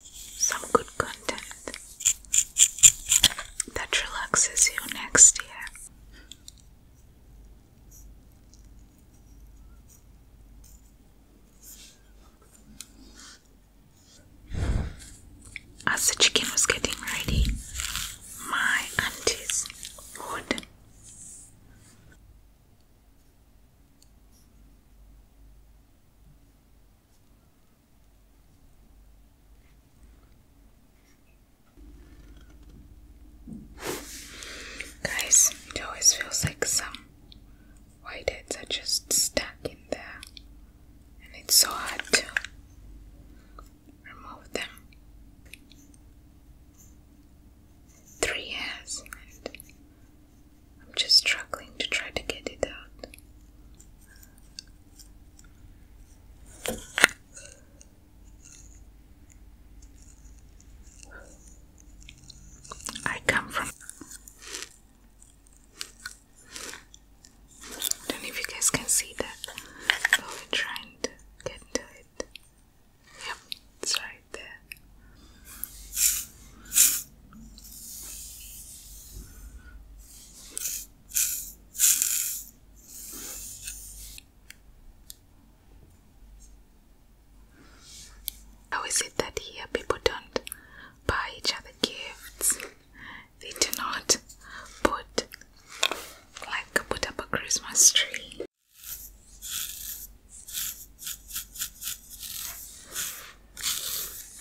some good content that relaxes you next year. As the chicken was getting ready, my aunties would Guys, it always feels like some white heads are just stuck in there, and it's so hard to remove them. Three years I'm just struggling to try to get it out. I come from. Don't know if you guys can see that, but we're trying to get to it. Yep, it's right there. How is it that here people don't buy each other gifts? They do not put like put up a Christmas tree.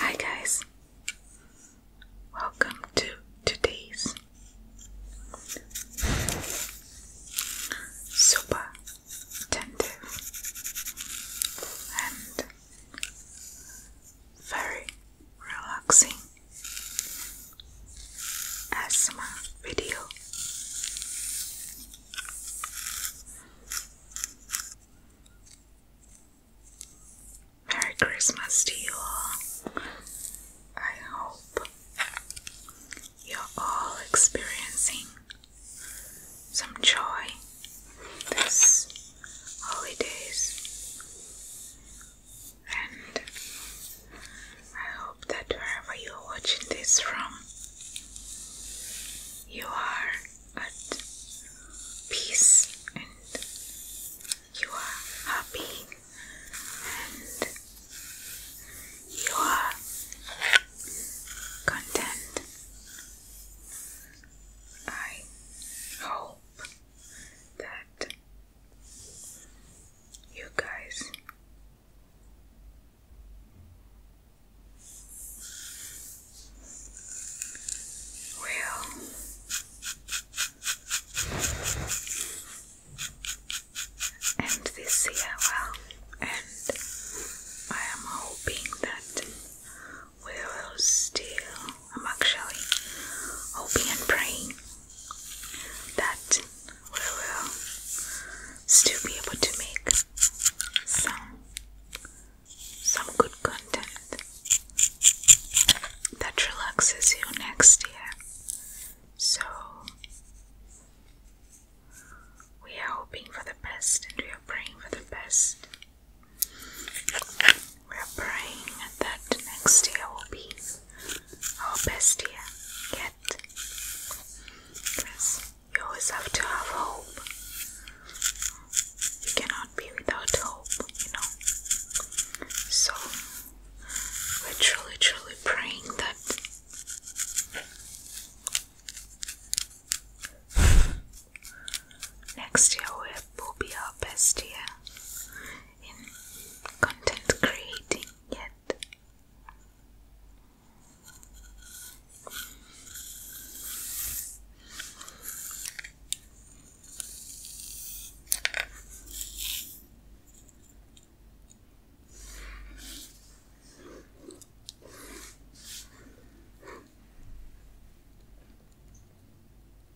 Hi, guys, welcome to today's super attentive and very relaxing asthma video. Merry Christmas to you all. I hope you're all experiencing some joy this holidays and I hope that wherever you're watching this from, you are at peace and you are happy and you are content. I hope that you guys. Well, and this year, well, and I am hoping that we will still I'm actually hoping and praying that we will still be able to make some some good content that relaxes you next year. So we are hoping for the best and we are praying for the best. We're praying that next year will be our best year yet. Because you always have to have hope. You cannot be without hope, you know. So, we're truly, truly praying that. Next year will be our best year in content creating yet.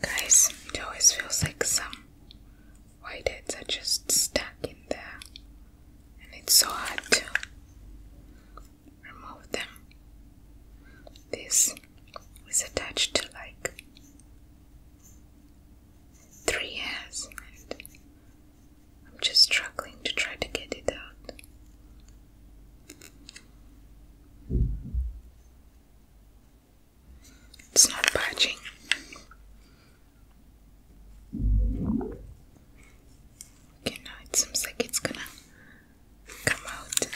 Guys, it always feels like some white heads are just stuck in there, and it's so hard to remove them. This was attached to like three years, I'm just struggling to try to get it out. It's not budging. Okay, now it seems like it's gonna come out.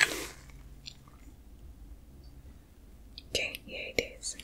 Okay, here it is.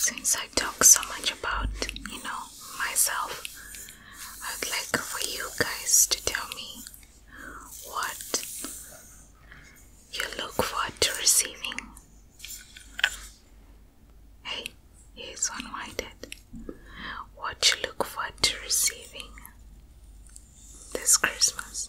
Since I talk so much about, you know, myself, I'd like for you guys to tell me what you look forward to receiving. Hey, here's one whited. What you look forward to receiving this Christmas.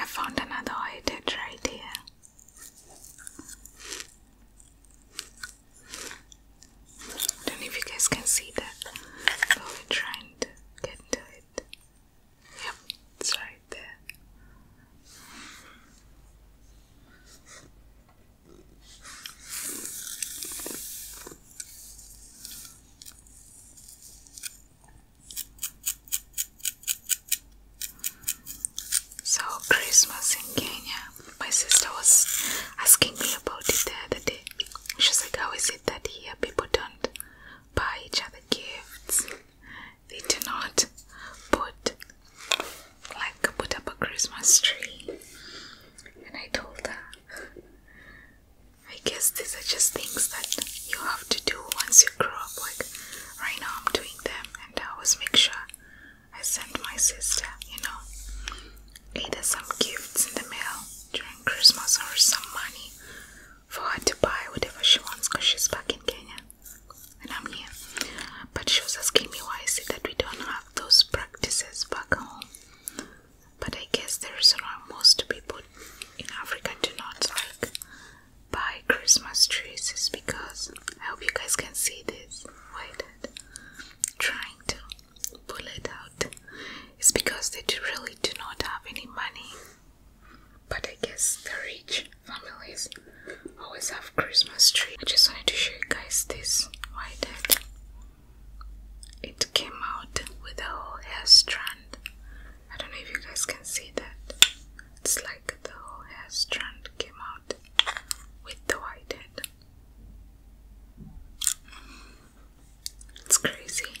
I found another ointment right here. don't know if you guys can see that, but we're trying to get to it. Yep, it's right there. So Christmas in Kenya. My sister was asking me about it the other day. She's like, how is it that here people don't buy each other gifts. They do not put like put up a Christmas tree. And I told her, I guess these are just things that you have to do once you grow up. Like right now, I'm doing them, and I always make sure I send my sister, you know, either some gifts in the mail during Christmas or some money for her to buy whatever she wants because she's back in Kenya and I'm here. But she was asking me why is it that we don't have those practices back home. But I guess the reason why most people in Africa do not like buy Christmas trees is because I hope you guys can see this. Why that? Trying to pull it out. It's because they really do not have any money but I guess the rich families always have Christmas tree. I just wanted to show you guys this. Why did it came out with a whole hair strand? I don't know if you guys can see that. It's like the whole hair strand came out with the white head. It's crazy.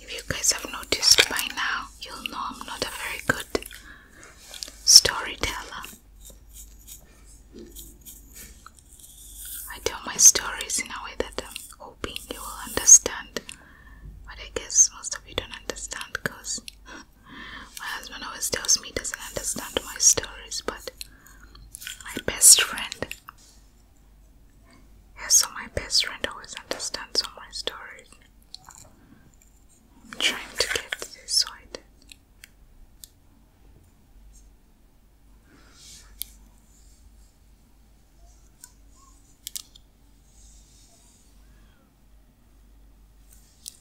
If you guys have noticed by now, you'll know I'm not a very good storyteller. I tell my stories in a way that I'm hoping you will understand, but I guess most of you don't understand because my husband always tells me he doesn't understand my stories, but my best friend. Yeah, so my best friend always understands all my stories. I'm trying to get this side.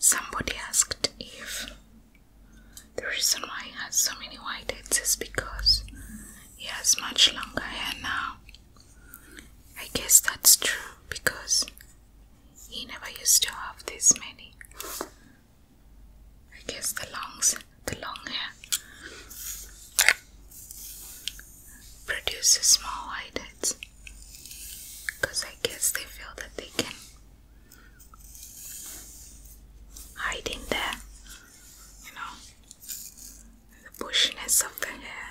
Somebody asked if the reason why he has so many white heads is because he has much longer hair now. I guess that's true because he never used to have this many. I guess the longs, the long hair produces small eyelids because I guess they feel that they can hide in there, you know, the bushiness of the hair.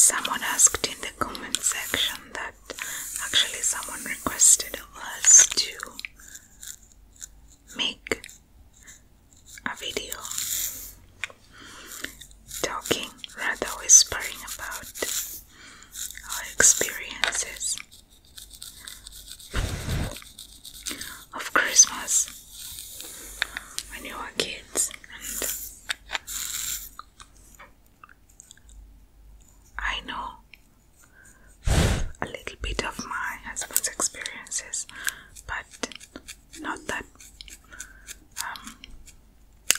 Someone asked in the comment section that actually someone requested us to make a video talking, rather whispering about our experiences of Christmas when you were kids and I know a little bit of my husband's experiences, but not that um,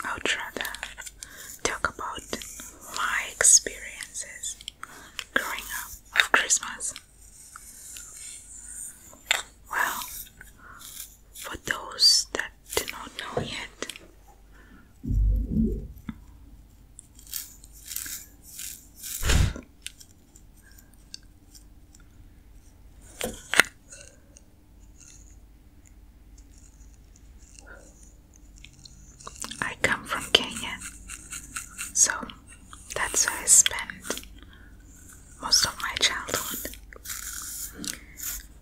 I would rather talk about my experiences growing up of Christmas. Well, for those that do not know yet, I come from Kenya, so that's where I spent most of my childhood.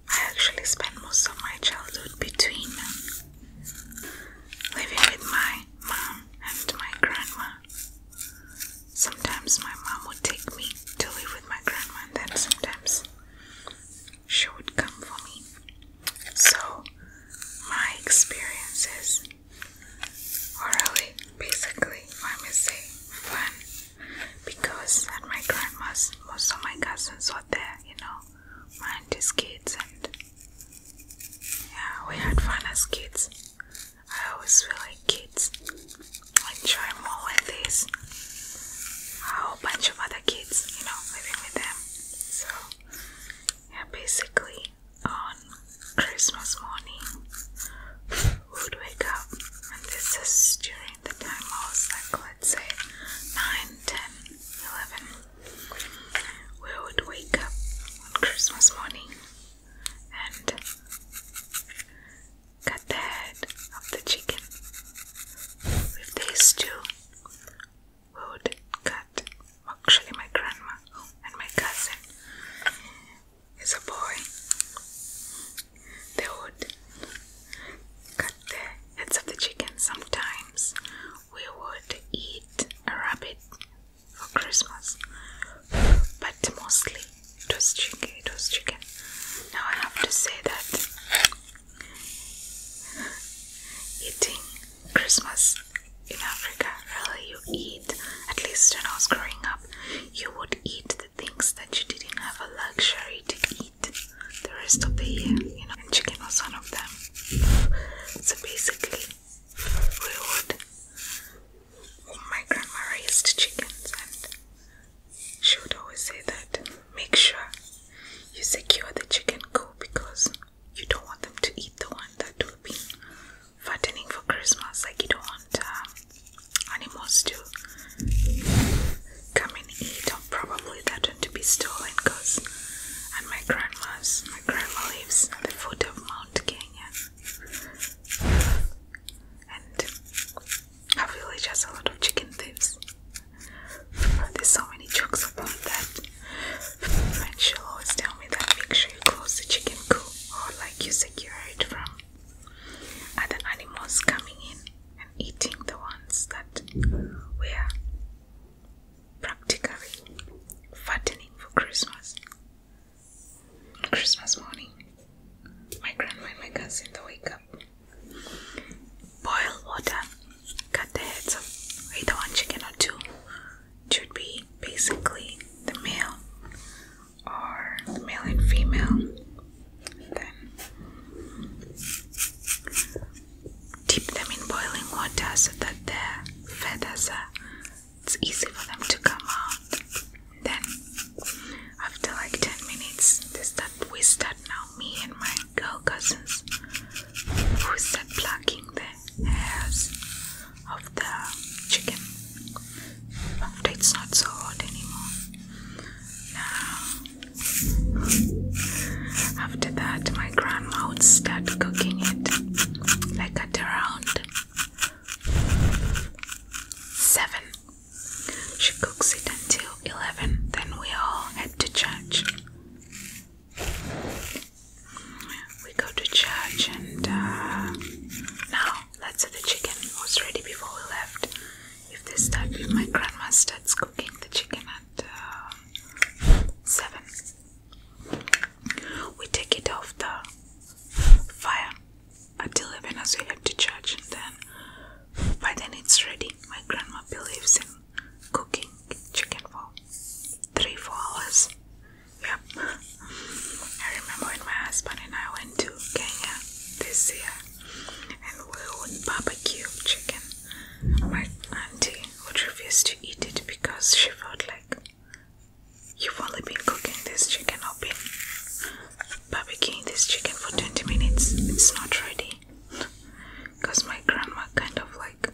I actually spent most of my childhood between living with my mom and my grandma. Sometimes my mom would take me to live with my grandma, and then sometimes she would come for me. So, my experiences were really basically, I must say, fun because at my grandma's, most of my cousins were there, you know, my auntie's kids, and yeah, we had fun as kids. I always feel like kids enjoy more with this a whole bunch of other kids, you know, living with them. So, yeah, basically on Christmas morning, we would wake up, and this is during the time I was like, let's say 9, 10, 11. We would wake up on Christmas morning and cut the head of the chicken. With these two, we would cut. Actually, my grandma and my cousin is a boy. They would cut the heads of the chicken. Sometimes we would eat a rabbit for Christmas, but mostly it was chicken, it was chicken. Now I have to say that eating Christmas in Africa, really, you eat, at least when I was growing up, you would eat the things that you didn't have a luxury to eat the rest of the year, you know, chicken was one of them. So basically, we would my grandma raised chickens and she would always say that make sure you secure the chicken coop because you don't want them to eat the one that will be fattening for Christmas. Like you don't want um, animals to come and eat or probably that one to be stolen because and my grandma's my grandma lives at the foot of Mount Kenya and I really just a lot of chicken thieves. There's so many jokes about that. And she'll always tell me that make sure you close the chicken coop or like you secure it from other animals coming in and eating the ones that we are practically fattening for Christmas. Christmas morning, my grandma and my cousin they wake up. Boil water, cut the heads of either one chicken or two. should be basically the male or the male and female. Then dip them in boiling water so that their feathers are it's easy for them to come out. Then, after like 10 minutes, we start now, me and my girl cousins, start plucking the hairs of the chicken. After it's not so hot anymore. Now, after that, my grandma would start cooking it like at around 7 she cooks it until 11, then we all head to church. We go to church, and uh, now let's say the chicken was ready before we left. If this time my grandma starts cooking the chicken at uh, 7, we take it off the fire until even as we head to church, and then by then it's ready. My grandma believes in cooking chicken for three, four hours. Yep. I remember when my husband and I went to Kenya this year and we would barbecue chicken. My auntie would refuse to eat it because she felt like you've only been cooking this chicken or been barbecuing this chicken for 20 minutes. It's not ready because my grandma kind of like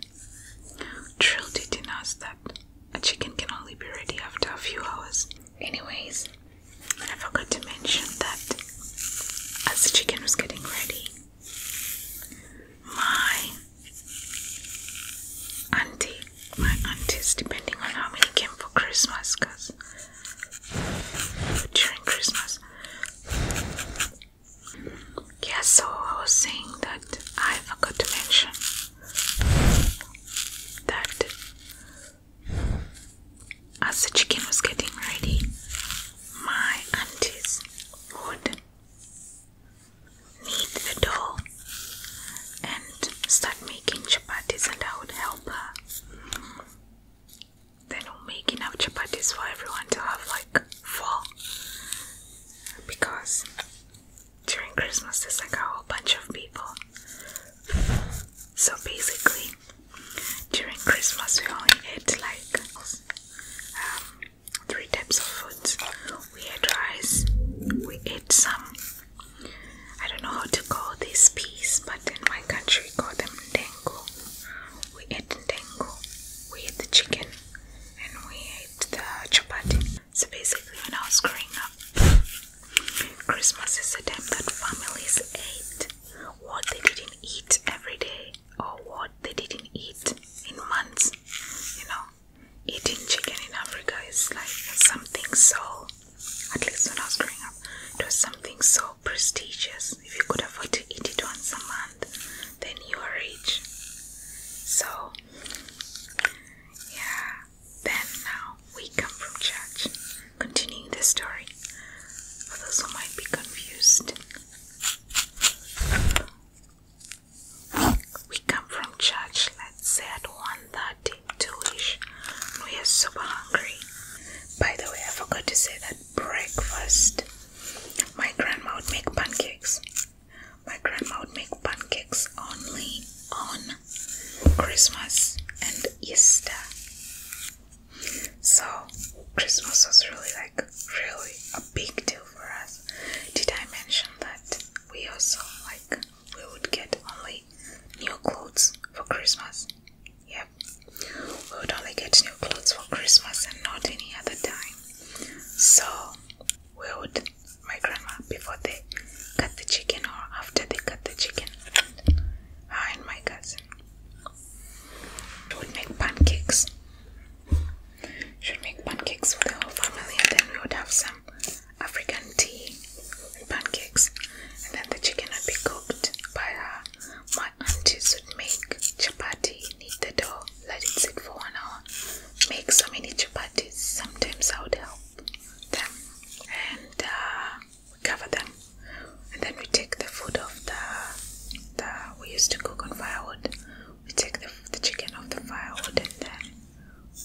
drilled it in us that a chicken can only be ready after a few hours. Anyways, I forgot to mention that as the chicken was getting ready, my auntie, my aunties, depending on how many came for Christmas, because during Christmas. Yeah, so I was saying that I forgot to mention that as the chicken was getting ready, my aunties would knead the dough and start making chapatis, and I would help her then we'll make enough chapatis for everyone to have like four. Because during Christmas there's like a whole bunch of people. So basically, during Christmas we only eat like um, three types of food. We eat rice, we eat some I don't know how to call this piece, but in my country call them dango. We ate ndengo, we ate the chicken, and we ate the chapati. So basically, when I was growing up, Christmas is a day that families ate what they didn't eat every day or what they didn't eat in months. You know, eating chicken in Africa is like something so at least when I was growing up, it was something so prestigious. If you could afford to eat it once a month, then you were rich. So, yeah. Then now we come from church. Continuing the story for those who might be confused. We come from church, let's say at 1.30 delish. We are super hungry. By the way, I forgot to say that breakfast. My grandma would make pancakes. My grandma would make pancakes only on Christmas and Easter. So Christmas was really like really a big deal for us. Did I mention that we also like we would get only new clothes for Christmas. Yep, we would only get new clothes for Christmas and not any other time. So we would, my grandma, before they cut the chicken or after they cut the chicken, her and my cousin would make pancakes. Should make pancakes for the whole family, and then we would have some African tea and pancakes, and then the chicken would be cooked by her. My aunties would make chapati, knead the dough, let it sit for an hour, make so many chapatis. Sometimes I would help them and we uh, cover them, and then we take the food off the the we used to cook on firewood. We take the, the chicken off the firewood and then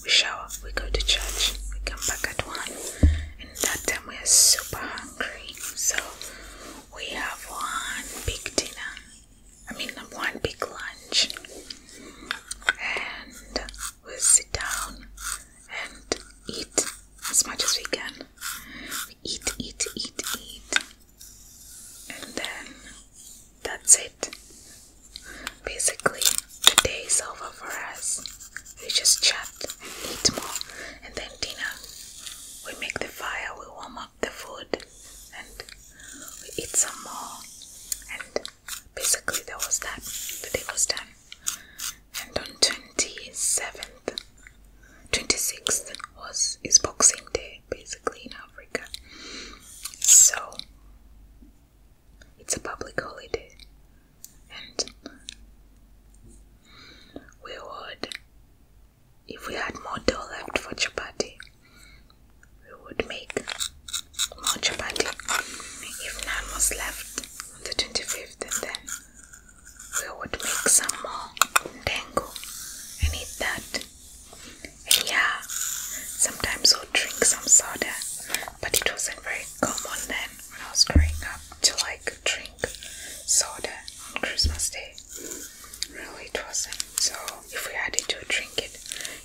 we shower, we go to church, we come back at one, and that time we are super hungry. So we have one big dinner, I mean, one big lunch, and we sit down and eat as much as we can. We eat, eat, eat, eat, and then that's it. Basically, today is over for us. We just chat and eat more, and then dinner. We make the fire, we warm up the food, and we eat some more. And basically, there was that. The day was done. And on 27th, 26th was is Boxing Day, basically in Africa. So it's a public holiday, and we would, if we had more dough left for chapati, we would make more chapati. If none was left on the 25th, and then we would make some more dango and eat that. And yeah, sometimes we'll drink some soda, but it wasn't very very common then I was growing up to like drink soda on Christmas Day. Really, it wasn't. So if we had to drink it.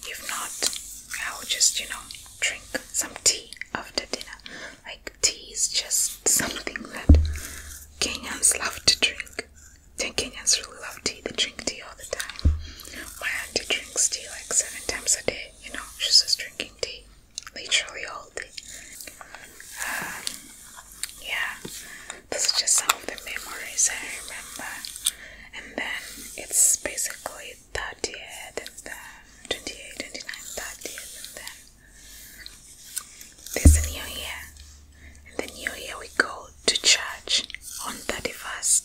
If not, I would just you know drink some tea after dinner. Like tea is just something that Kenyans love to drink. Then Kenyans really love tea. They drink tea all the time. My auntie drinks tea like seven times a day you know, she's just drinking tea, literally all day. Um, yeah, those are just some of the memories I remember. And then it's basically 30th, and then 28, 29, 30th, and then there's new year. And the new year we go to church on 31st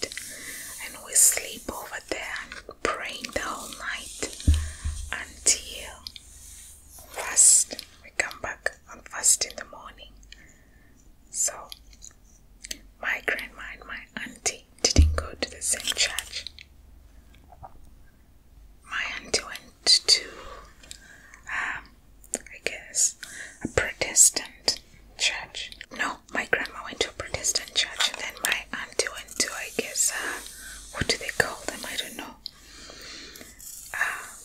and we sleep over over there praying the whole night until first we come back on first in the morning. So my grandma and my auntie didn't go to the same church. My auntie went to, um, I guess, a Protestant church. No, my grandma went to a Protestant church, and then my auntie went to, I guess, uh, what do they call them? I don't know.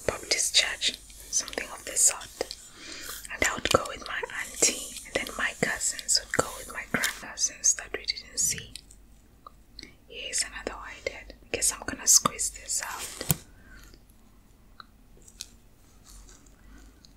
Baptist church, something of the sort. And I would go with my auntie, and then my cousins would go with my and stuff we didn't see. Here's another whitehead. I guess I'm gonna squeeze this out.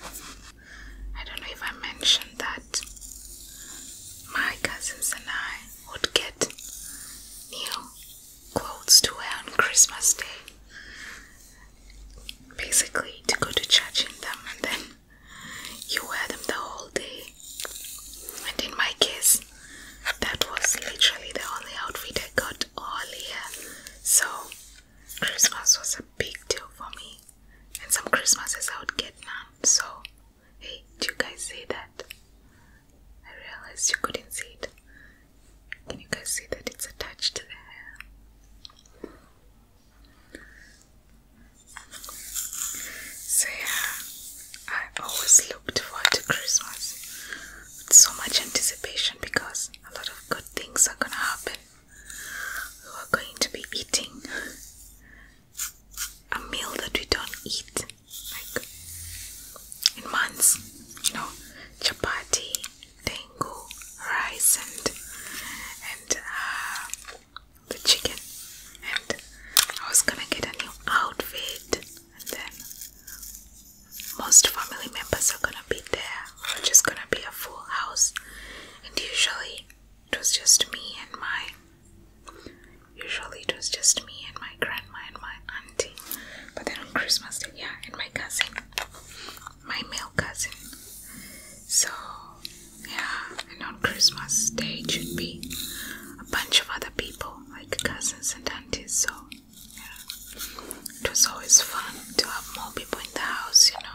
I don't know if I mentioned that my cousins and I would get new clothes to wear on Christmas Day. Basically, to go to church in them and then you wear them the whole day. And in my case, that was literally the only outfit I got all year. So, Christmas was a big deal for me. And some Christmases I would get none. So, hey, do you guys see that? I realized you couldn't see it. Can you guys see that it's attached to the hair? So, yeah, I always looked forward to Christmas with so much anticipation because a lot of good things are gonna happen. We are going to be eating a meal that we don't eat like in months, you know, chapati, tengu, rice, and and uh, the chicken. And I was gonna get a new outfit, and then most family members are gonna be there which is gonna be a full house. And usually it was just me and my usually it was just me and my grandma and my auntie. But then on Christmas Day, yeah, and my cousin. My male cousin. So yeah, and on Christmas Day it should be a bunch of other people, like cousins and aunties, so yeah. It was always fun to have more people in the house, you know.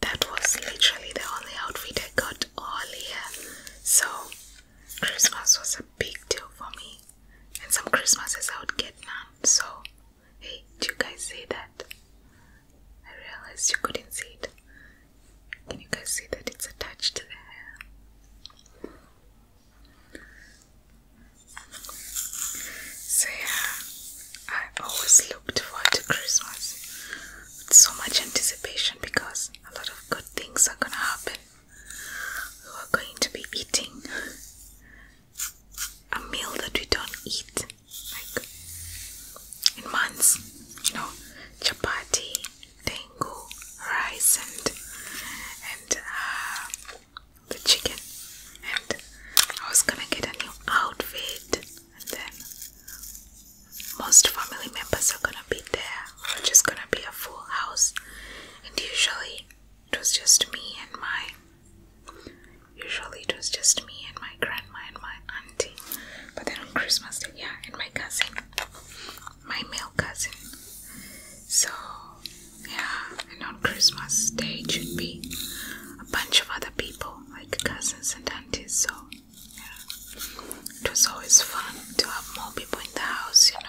that was literally the only outfit I got all year. So Christmas was a big deal for me. And some Christmases I would get none. So hey, do you guys see that? I realized you couldn't see it. Can you guys see that it's attached to the hair? So yeah, I always looked forward to Christmas with so much anticipation because a lot of good things are gonna happen. We are going to be eating a meal that we don't eat in months, you know, chapati, tengu, rice, and and uh, the chicken. And I was gonna get a new outfit and then most family members are gonna be there. We're gonna be a full house, and usually it was just me and my. Usually it was just me and my grandma and my auntie, but then on Christmas Day, yeah, and my cousin, my male cousin. So yeah, and on Christmas Day it should be a bunch of other people like cousins and aunties. So it was always fun to have more people in the house, you know.